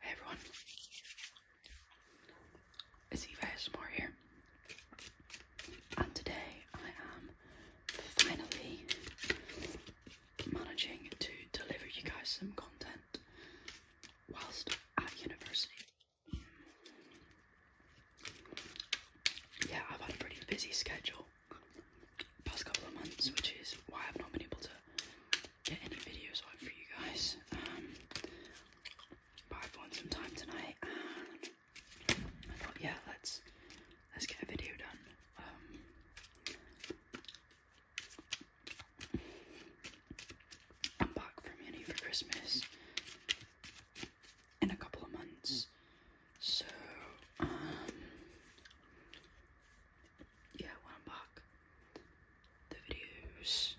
Hey everyone, it's Eva Smart here, and today I am finally managing to deliver you guys some content whilst at university. Yeah, I've had a pretty busy schedule past couple of months, which is why I've not been able to get any videos out for you guys. Um, um but I've won some time tonight, and I thought, yeah, let's let's get a video done. Um, I'm back from uni for Christmas in a couple of months, so um, yeah, when I'm back, the videos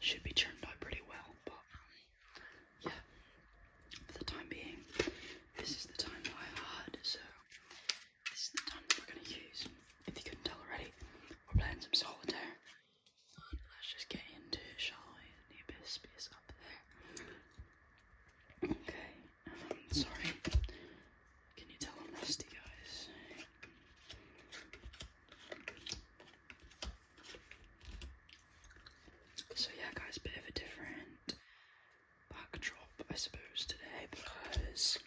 should be turned out pretty well, but yeah, for the time being, this is the time that I had, so this is the time that we're going to use. If you couldn't tell already, we're playing some solitaire. let's just get into it, shall we? Anubis is up there. Okay, Sorry. Can you tell I'm rusty, guys? So yeah, guys, bit of a different backdrop, I suppose, today because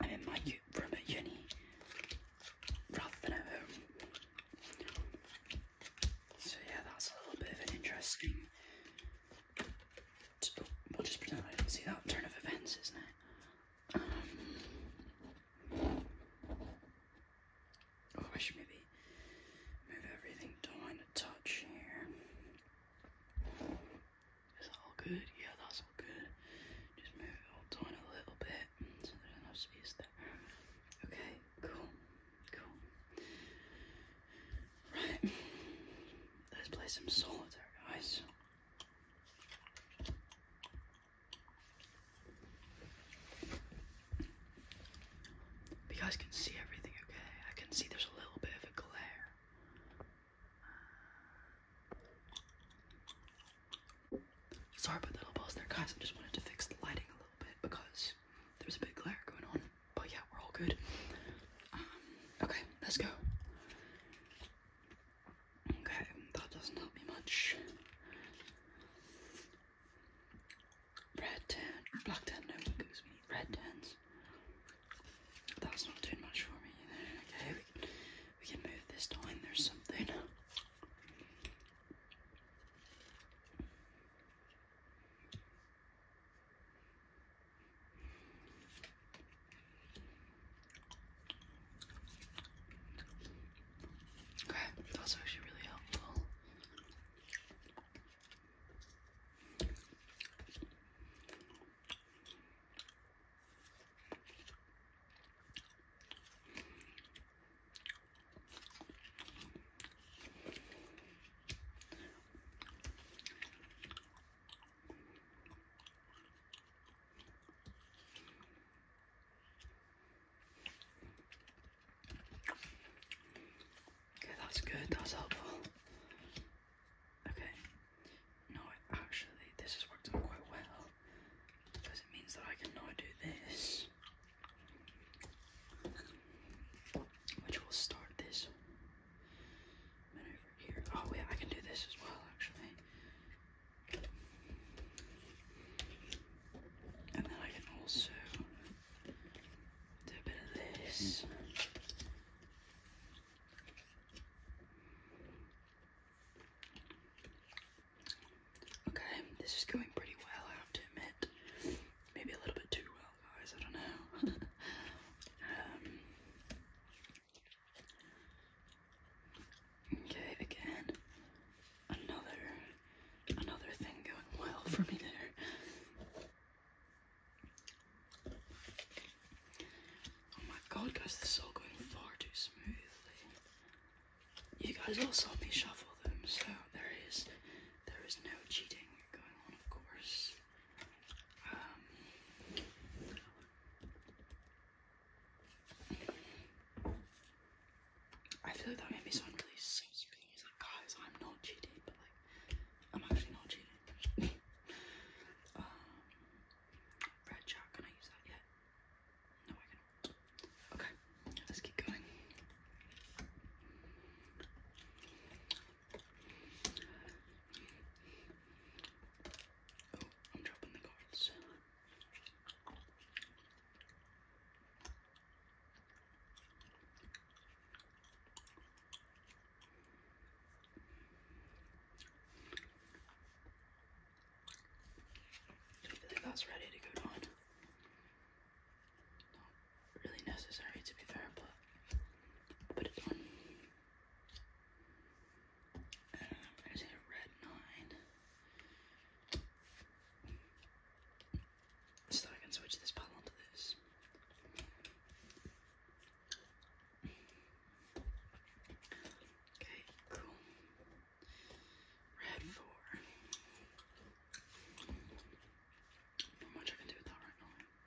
I'm in my room at uni rather than at home. So yeah, that's a little bit of an interesting We'll just pretend I didn't see that turn of events, isn't it? Um, oh, I should maybe move everything down a touch here. Is that all good? Yeah, that's all good. Just move it all down a little bit so there's enough space there. Okay, cool. Cool. Right. Let's play some solitaire, guys. You guys can see everything, okay? I can see there's a little bit of a glare. sorry about that, little boss there, guys. I just wanted to fix the lighting a little bit because there was a big glare going on but yeah, we're all good. Um, okay, let's go. Okay, that doesn't help me much. Red tan, black tan, no, because we need red tans. That's not doing much for me either. we can, we can move this time, there's something. Okay, that's actually really helpful. Okay, that's good, that's helpful. Okay, no, actually, this has worked out quite well because it means that I can now do this, which will start this over here. Oh yeah, I can do this as well actually. And then I can also do a bit of this. Hmm. Okay, this is going pretty well, I have to admit. Maybe a little bit too well guys, I don't know. Um, okay, again, another, another thing going well for me there. Oh my god, guys, this is all going far too smoothly. You guys all saw me shuffle them, so there is there is no cheating going on, of course. Um, I feel like that made me sound really so spinny. It's like, guys, I'm not cheating, but like, I'm actually not cheating. um, red jack, can I use that yet? No, I cannot. Okay, let's keep going. Oh, I'm dropping the cards. I feel like that's ready to go down really necessary to be fair, but but it's on um, uh, I say red nine. So I can switch this palette onto this. Okay, cool. Red four. Not much I can do with that right now. Okay.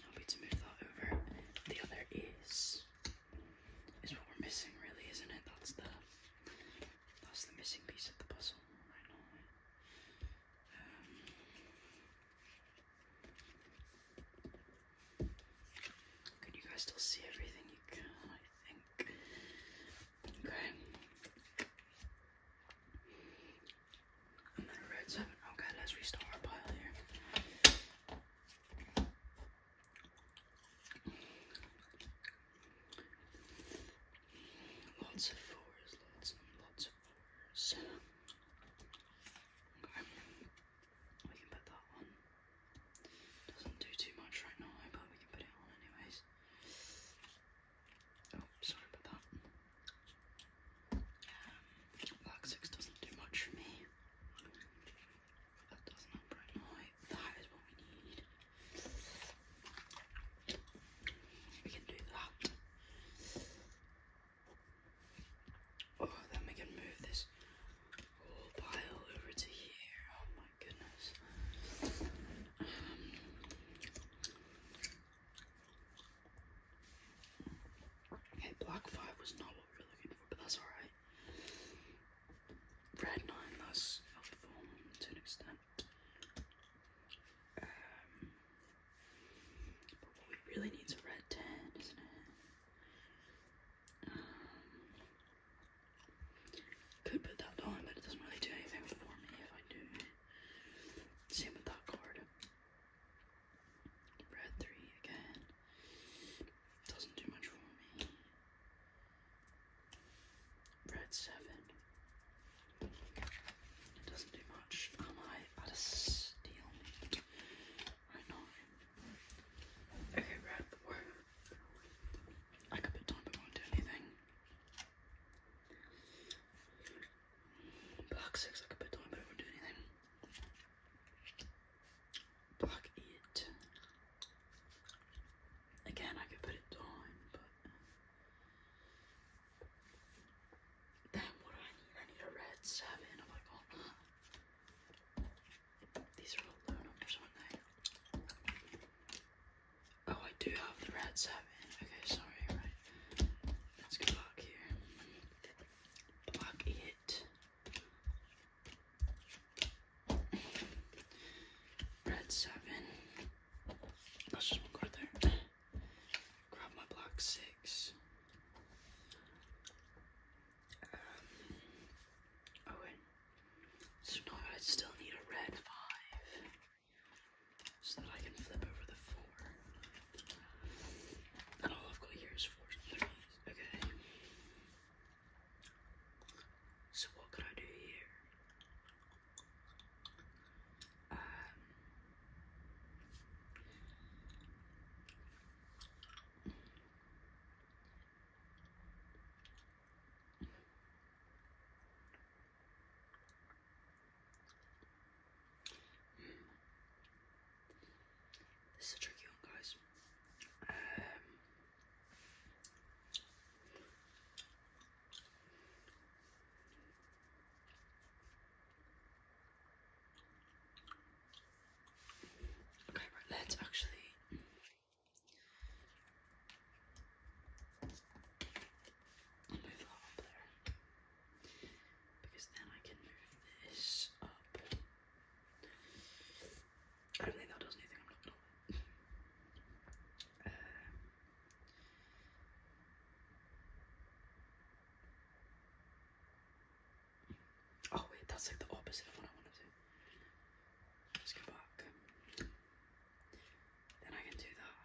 Happy to move that over. The other is is what we're missing really, isn't it? That's the that's the missing piece of the puzzle right now. Um, can you guys still see everything you can? I think Okay. And then a red seven. Okay, let's restore our pile here. Lots of fours, lots and lots of fours. Okay. We can put that one doesn't do too much right now, but we can put it on anyways. Oh, sorry about that. Um, black six doesn't do much for me. That doesn't help right now. That is what we need. We can do that. Oh, then we can move this whole pile over to here. Oh my goodness. Um, okay, block five was not what we were looking for, but that's alright. Red nine, that's helpful to an extent. Um, but what we really need is a red ten, isn't it? Um, could put that on, but it doesn't really do anything for me if I do. Same with that card. Red 3 again. Doesn't do much for me. Red 7. doesn't do much. Am I at a steal? I know. Okay, red 4. I could put time but won't do anything. Black six, I could put time but it won't do anything. Black eight. Again, I could put it down, but then uh, what do I need? I need a red seven. Have oh I got that? Oh, I do have the red seven. Okay, sorry, right. Let's go here. Black eight. Red seven. That's just one there. Grab my black six. Um, oh, so now I still need a red five so that I can flip over the four. And all I've got here is four threes. Okay. So what could I do here? Um, this is a tricky one, guys. Um, okay, right, let's actually move up there because then I can move this up. I don't think that does anything, uh, Oh wait, that's like the opposite of what I want to do. Let's go back. Then I can do that.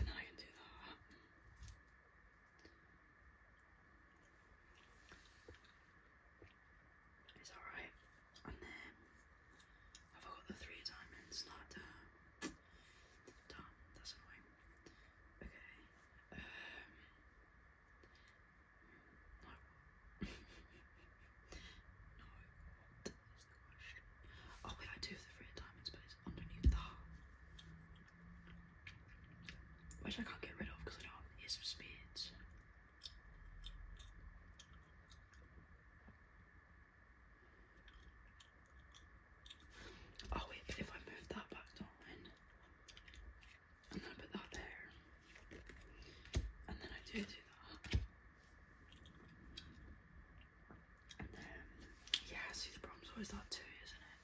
And then I can do that. It's alright. And then I've got the three diamonds, not done. Done, that's annoying. Okay. Um Oh wait, I do have the free time and space underneath that. Which I can't get rid of because I don't have years of speeds. Oh wait, but if I move that back down, and then I put that there. And then I do do that. And then, yeah, see the problem's always that too, isn't it?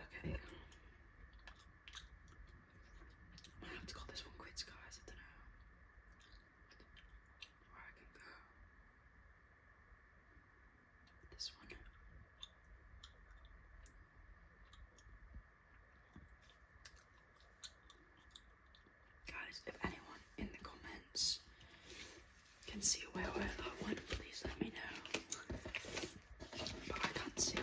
Okay. I have to call this one quits, guys. I don't know where I can go. This one. Guys, if anyone in the comments can see where I that one, please let me know. But I can't see. it.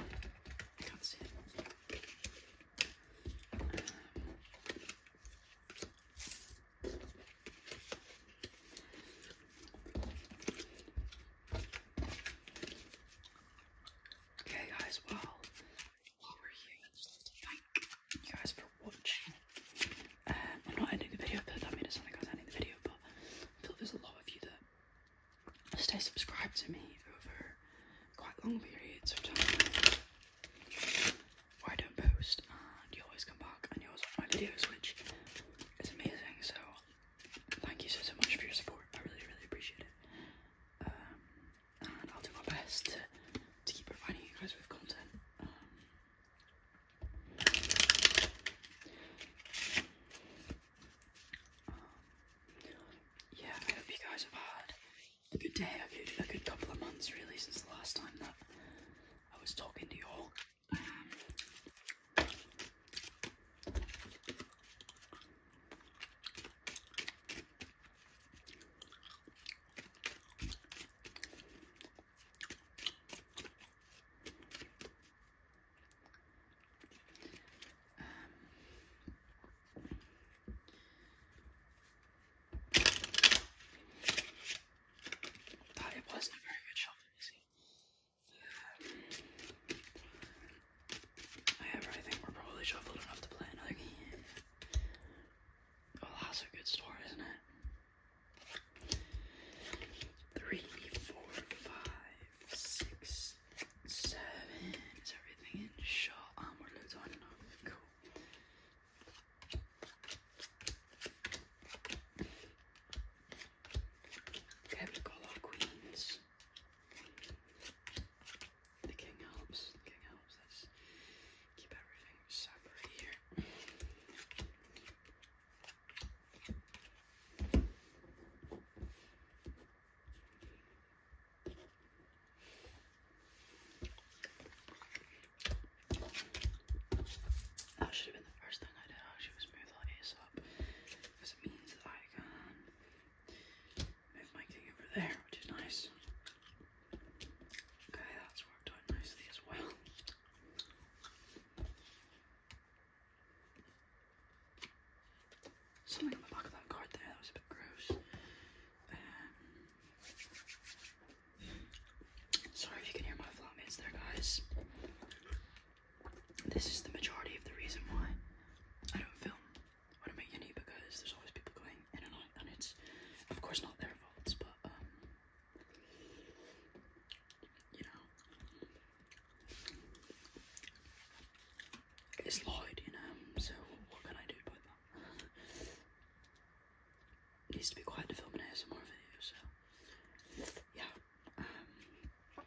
Okay, guys, well, while we're here, i just like to thank you guys for watching. Um, I'm not ending the video, but that made it sound like I was ending the video, but I feel there's a lot of you that stay subscribed to me over quite long periods of time I don't post, and you always come back and you always watch my videos, which is amazing. So, thank you so, so much for your support. I really, really appreciate it um, and I'll do my best to, to keep providing you guys with content. Um, yeah, I hope you guys have had a good day, a good, a good couple of months really since the last time that I was talking to you all. Um, but um, it wasn't a very good shopping, is he? Um, However, I think we're probably shuffled enough to play another game. Oh, that's a good store, isn't it? Three, four, five, six, seven. Is everything in shot? Um, we're loads on and off. Cool. Okay, we've got a lot of queens. The king helps. The king helps. Let's keep everything separate here. That should have been the first thing I did. I should have smoothed all this because it means I can Move my king over there, which is nice. Okay, that's worked out nicely as well. Something on the back of that card there, that was a bit gross. Um, sorry if you can hear my flatmates there, guys. This is the majority of the reason why I don't film when I'm at uni because there's always people going in and out, and it's of course not their faults, but um, you know, it's loud, you know. So what can I do about that? needs to be quiet to film an more videos. so yeah. Um,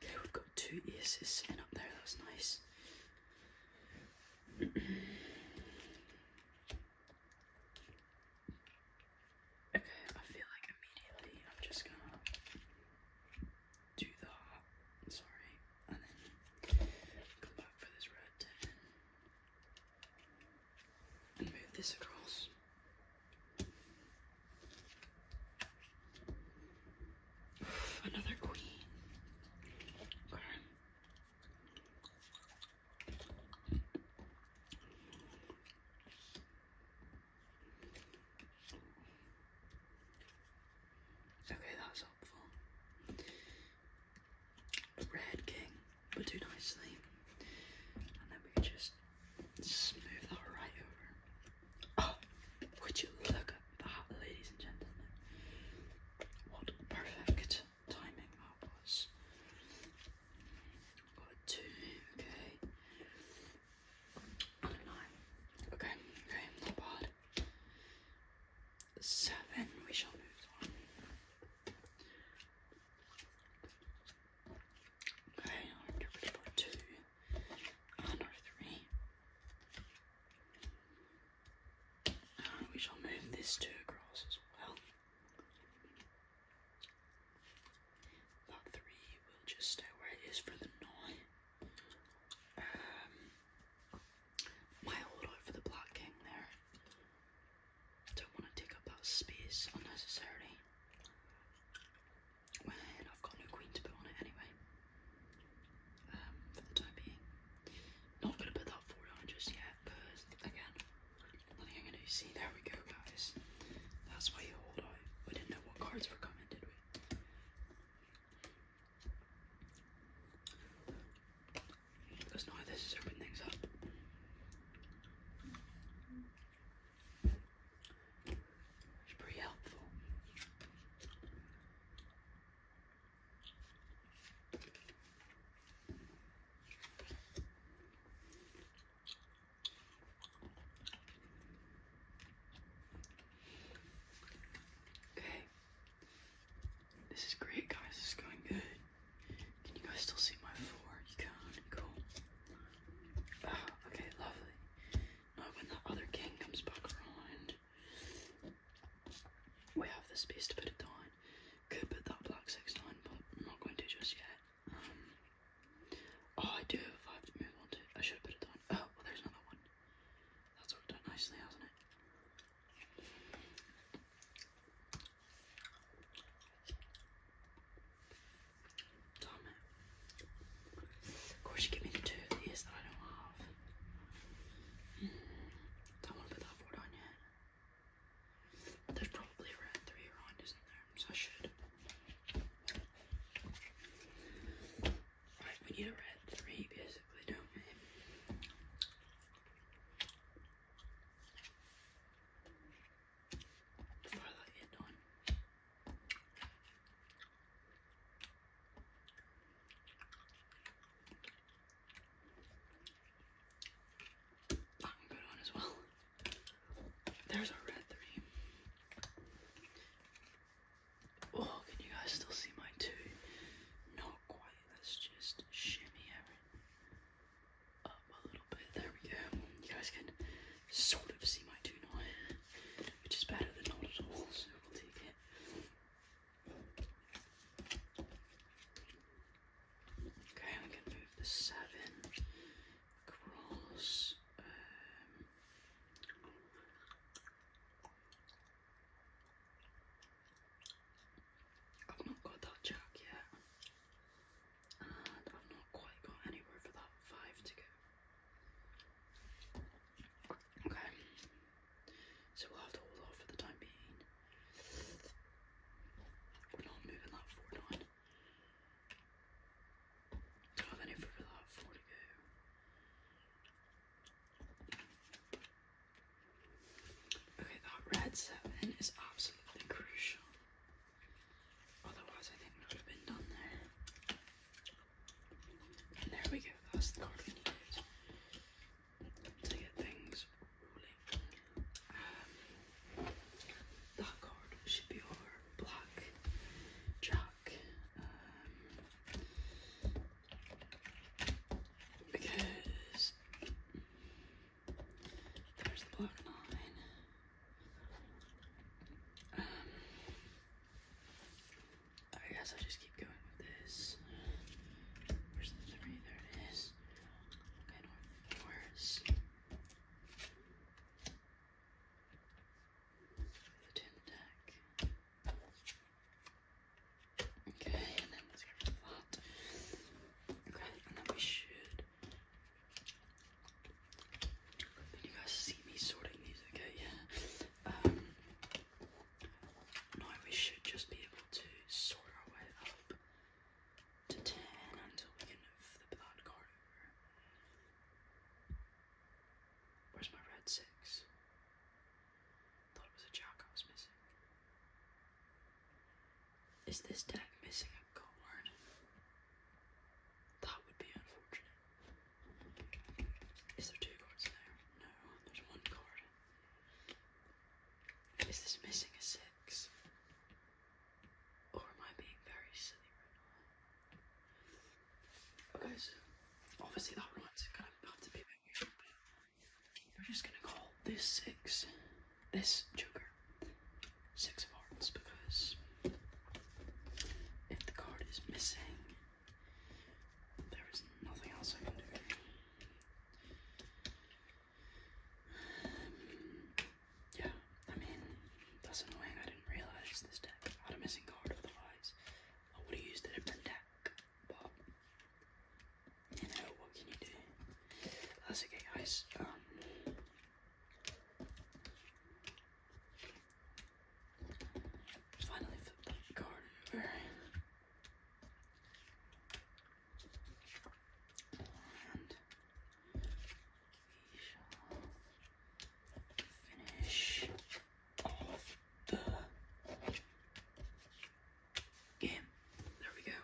Okay, we've got two aces sitting up there, that's nice. okay, I feel like immediately I'm just gonna do that, sorry, and then come back for this red and move this across. Another queen. Okay. that was helpful. Red king, but do nicely. And then we just smooth that right over. Oh, would you look at that, ladies and gentlemen? What perfect timing that was. two, okay. nine. Okay, okay, not bad. Seven, we shall move on. Okay, i two and three. We shall move this two across as well. That three will just stay where it is for the night. might um, hold out for the Black King there. Don't want to take up that space unnecessarily and I've got no queen to put on it anyway. Um, for the time being. Not gonna put that forward on just yet, because again, I think I'm gonna see there we go guys. That's why you hold on. We didn't know what cards were coming, did we? Because now this has opened things up. It's pretty helpful. Okay. This is great guys, this is going good. Can you guys still see my floor? You can, cool. Oh, okay, lovely. Not when the other king comes back around. We have the space to put it down. Could put that black six down, but I'm not going to just yet. Um, oh, I do have a five to move on to. I should have put it down. Oh, well, there's another one. That's worked out nicely, hasn't it? Damn it. Of course you give me the two of that I don't have. Hmm. don't want to put that forward on yet. There's probably around three around, isn't there? So I should. Right, we need a red three basically, don't we? Fire that on good one as well. There's a red three. Oh, can you guys still see my two? Not quite. Let's just shimmy everything up a little bit. There we go. You guys can sort of see my two now which is better than not at all, so we'll take it. Okay, I'm move the seven across. Um, I've not got that jack yet, and I've not quite got anywhere for that five to go. Okay, so we'll have to hold off for the time being. We're not moving that forward on. Don't have any further that four to go. Okay, that red seven is absolutely crucial. Otherwise, I think we would have been done there. And there we go, that's the card we need to get things rolling. Um, that card should be our black jack. Um, because there's the black nine. Um, Oh, I guess I'll just keep going with this. Where's the three? There it is. Okay, where's the tin deck? Okay, and then let's get rid of that. Okay, and then we should you guys see me sorting these, okay? Yeah. now we should just be able to sort our way up to 10 until we can flip that card Where's my red 6? Thought it was a jack I was missing. Is this deck missing a card? That would be unfortunate. Is there two cards in there? No, there's one card. Is this missing a six? Or am I being very silly right now? Okay, so obviously that right's gonna have to be a we're just gonna call this six, this joker, six of hearts because if the card is missing there is nothing else I can do. Um, yeah, I mean, that's annoying. I didn't realize this deck had a missing card, otherwise, I would have used a different deck. But, you know, what can you do? That's okay, guys. Um, Finally flip the card over. And we shall finish off the game. There we go.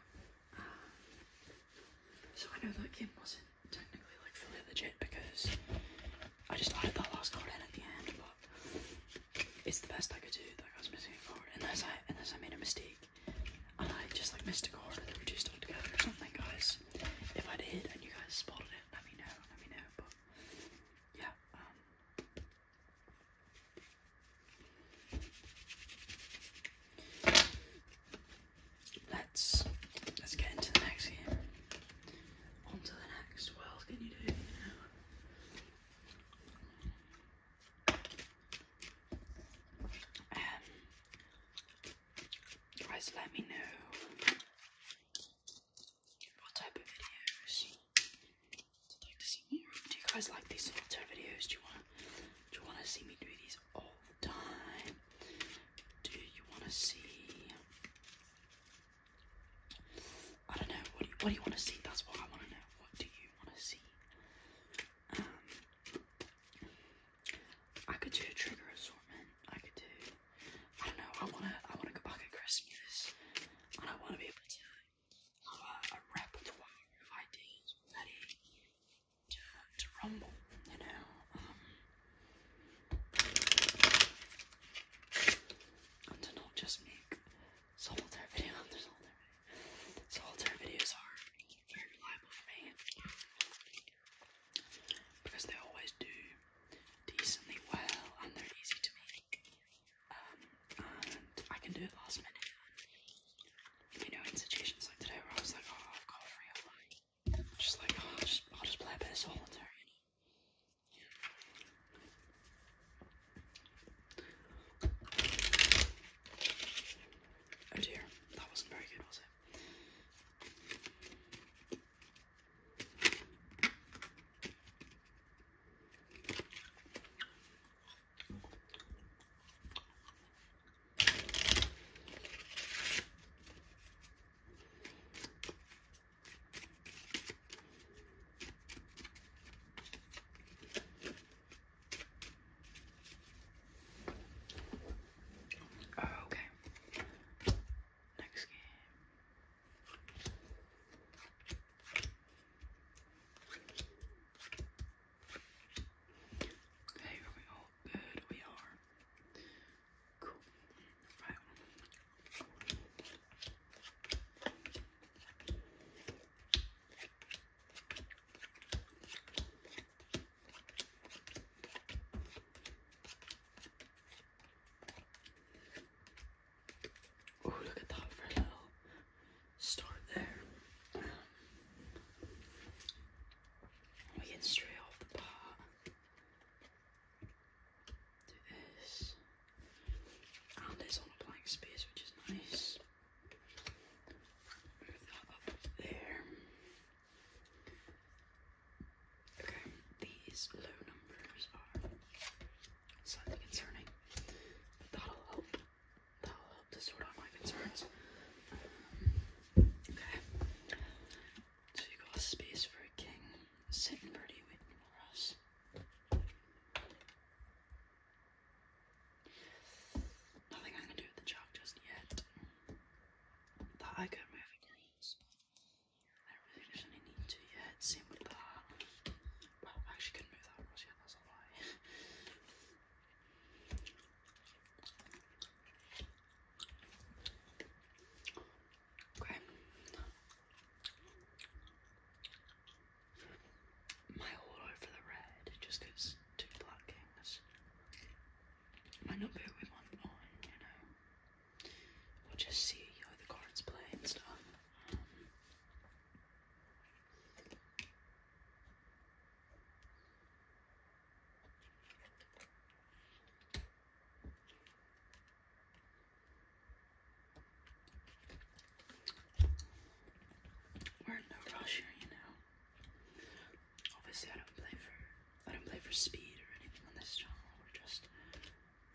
Um, so I know that game wasn't technically like fully legit because I just added that last card in at the end, but it's the best I could do. That guy's missing a card, unless I unless I made a mistake and I just like missed a card, and they were too stuck together or something, guys. If I did and you guys spotted it, let me know. Let me know. But yeah. Um, let's let's get into the next game on to the next. world, can you do? You um, know? guys, let me know what type of videos you'd like to see more Do you guys like these sort of videos? Do you want do you want to see me do these all the time? Do you want to see I don't know. What do you, what do you want to see? That's what I want to know. What do you want to see? Um, I could do a trigger assortment. I could do. I don't know. I wanna. I wanna go back at Christmas, and I wanna be able to have a, a repertoire of ideas ready to to rumble. You know. Um, and to not just make solitaire video solitaire videos are very reliable for me. Because they always do decently well and they're easy to make. Um, and I can do it last minute. You know, in situations like today where I was like, oh, I've got free time, Just like, oh, I'll just, play a bit of solitaire, Oh dear, that wasn't very good, was it? Oh, okay. Next game. Okay, are we all good? We are. Oh, look at that little start there. we get straight off the bat do this, and it's on a blank space, which is nice. up there. Okay, these low numbers are slightly concerning, but that'll help. That'll help to sort out my concerns. Um, okay, so you got a space for a king sitting pretty waiting for us. Nothing I'm do with the chalk just yet. That I could move I really doesn't need to yet. Same with that. Well, I actually could move that across that's a lie. Okay. My all over the red just because two black kings might not be who we on, you know. We'll just see how the cards play and stuff. We're in no rush you know. Obviously, I don't play for I don't play for speed or anything on this channel. We're just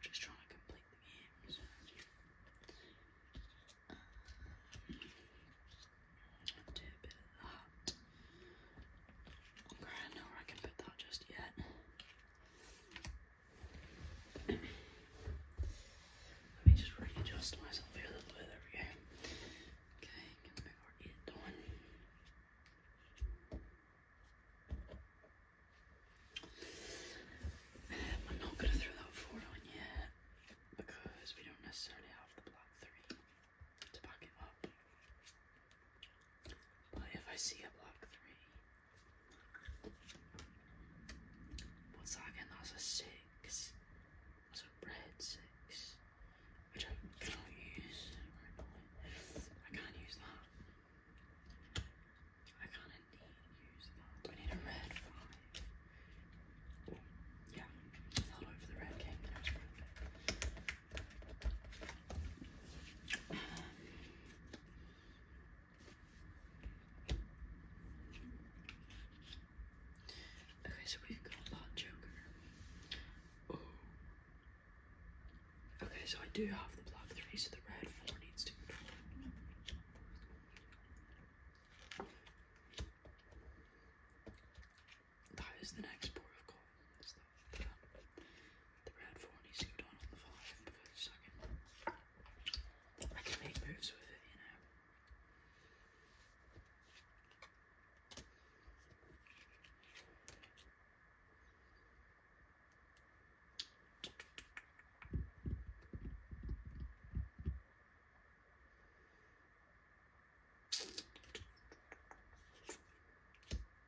just trying to complete the games. Um, do a bit know where I can put that just yet. Let me just readjust myself here a little bit. There we go. Okay, I'm not going to throw that four on yet because we don't necessarily have the block three to back it up. But if I see a block three, what's that again? That's a six. That's a red six, which I can't use. I can't use that. I can't indeed use that. I need a red five. yeah, I'll over the red king. Um, Okay, so we've got a that joker. Oh. Okay, so I do have the black three, so the red four needs to go down. That is the next port of call the, the forty four needs down on the five because I can, I can make moves with it, you know.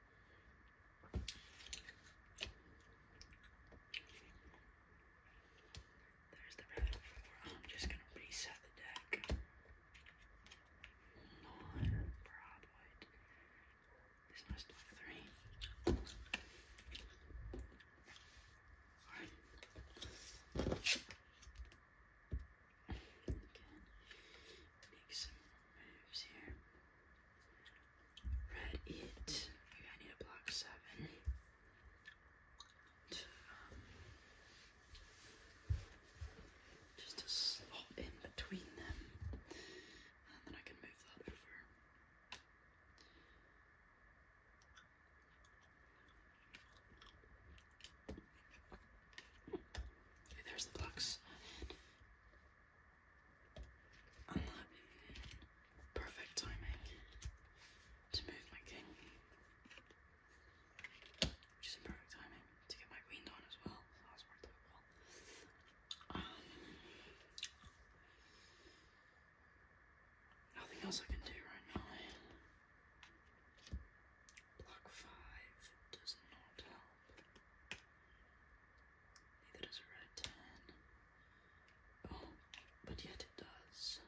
There's the round four. I'm just gonna reset the deck. Non Broadwood. This must be three. Alright. make some moves here. Red it. I need a block seven. just to slot in between them. And then I can move that over. there's the block perfect timing to move my king. Which in perfect timing to get my queen down as well. Um, nothing else I can do right now. Block five does not help. Neither does red 10. Oh, but yet it does.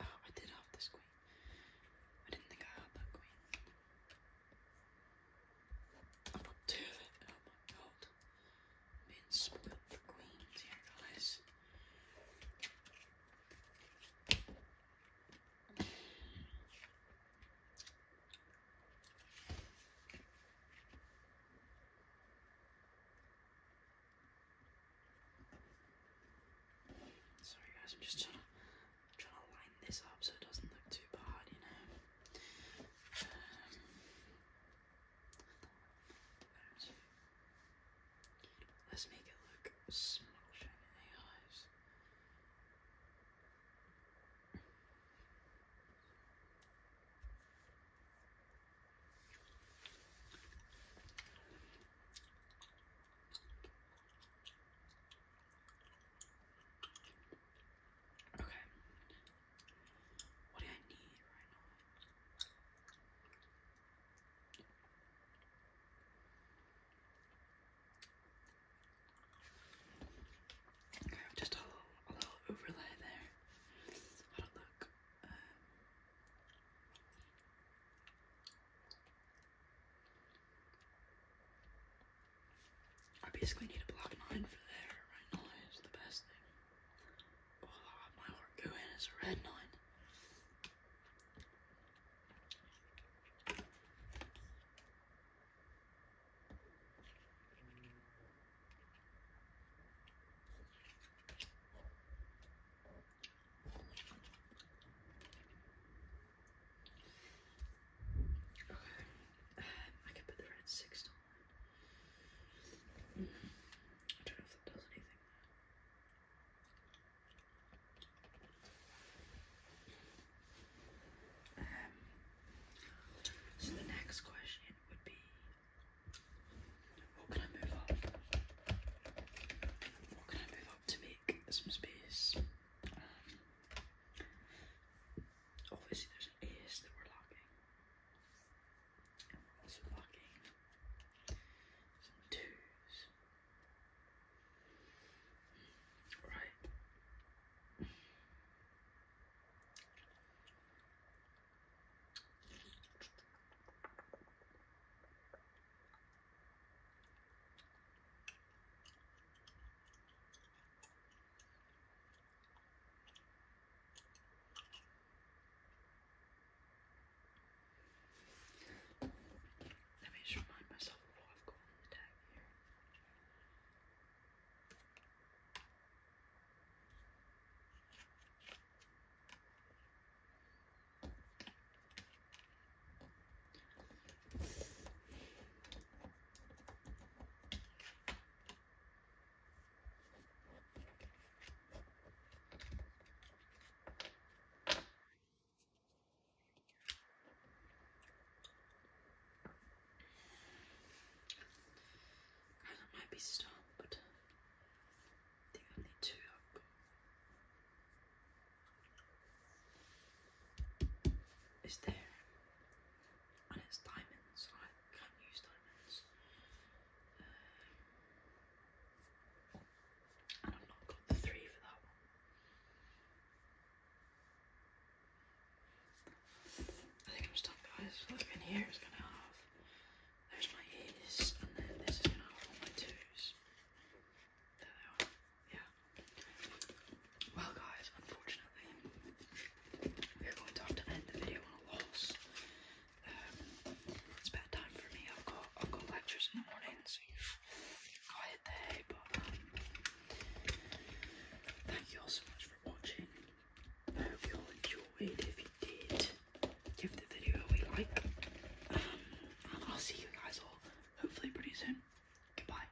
Oh, I did have this queen. I didn't think I had that queen. I'm Oh my god. queens here, Sorry guys, I'm just trying to line this up so it doesn't look too bad, you know. Let's make it look smashing in the eyes. Okay. What do I need right now? Okay, just a little, a little overlay there. How to look. Um, I basically need a block 9 for there. Right 9 is the best thing. Well, I my heart go in as a red 9. Okay, I can put the red six down. Mm I don't know if that does anything. Um, so the next question would be, what can I move up? What can I move up to make some space? obviously oh, there's an ace that we're lacking. some twos. Right. Let me just remind myself of what I've got on the deck here. Guys, might be stumped. I think I need two Is there and it's diamonds, and I can't use diamonds. Um, and I've not got the three for that one. I think I'm stuck, guys. Look in here is gonna have. There's my A's, and then this is gonna hold my twos. There they are. Yeah. Well, guys, unfortunately, we're going to have to end the video on a loss. Um, it's time for me. I've got I've got lectures in the morning, so you've got to hit the hay. But um, thank you all so much for watching. I hope you all enjoyed. If you did, give the video a like, um, and I'll see you guys all hopefully pretty soon. Goodbye.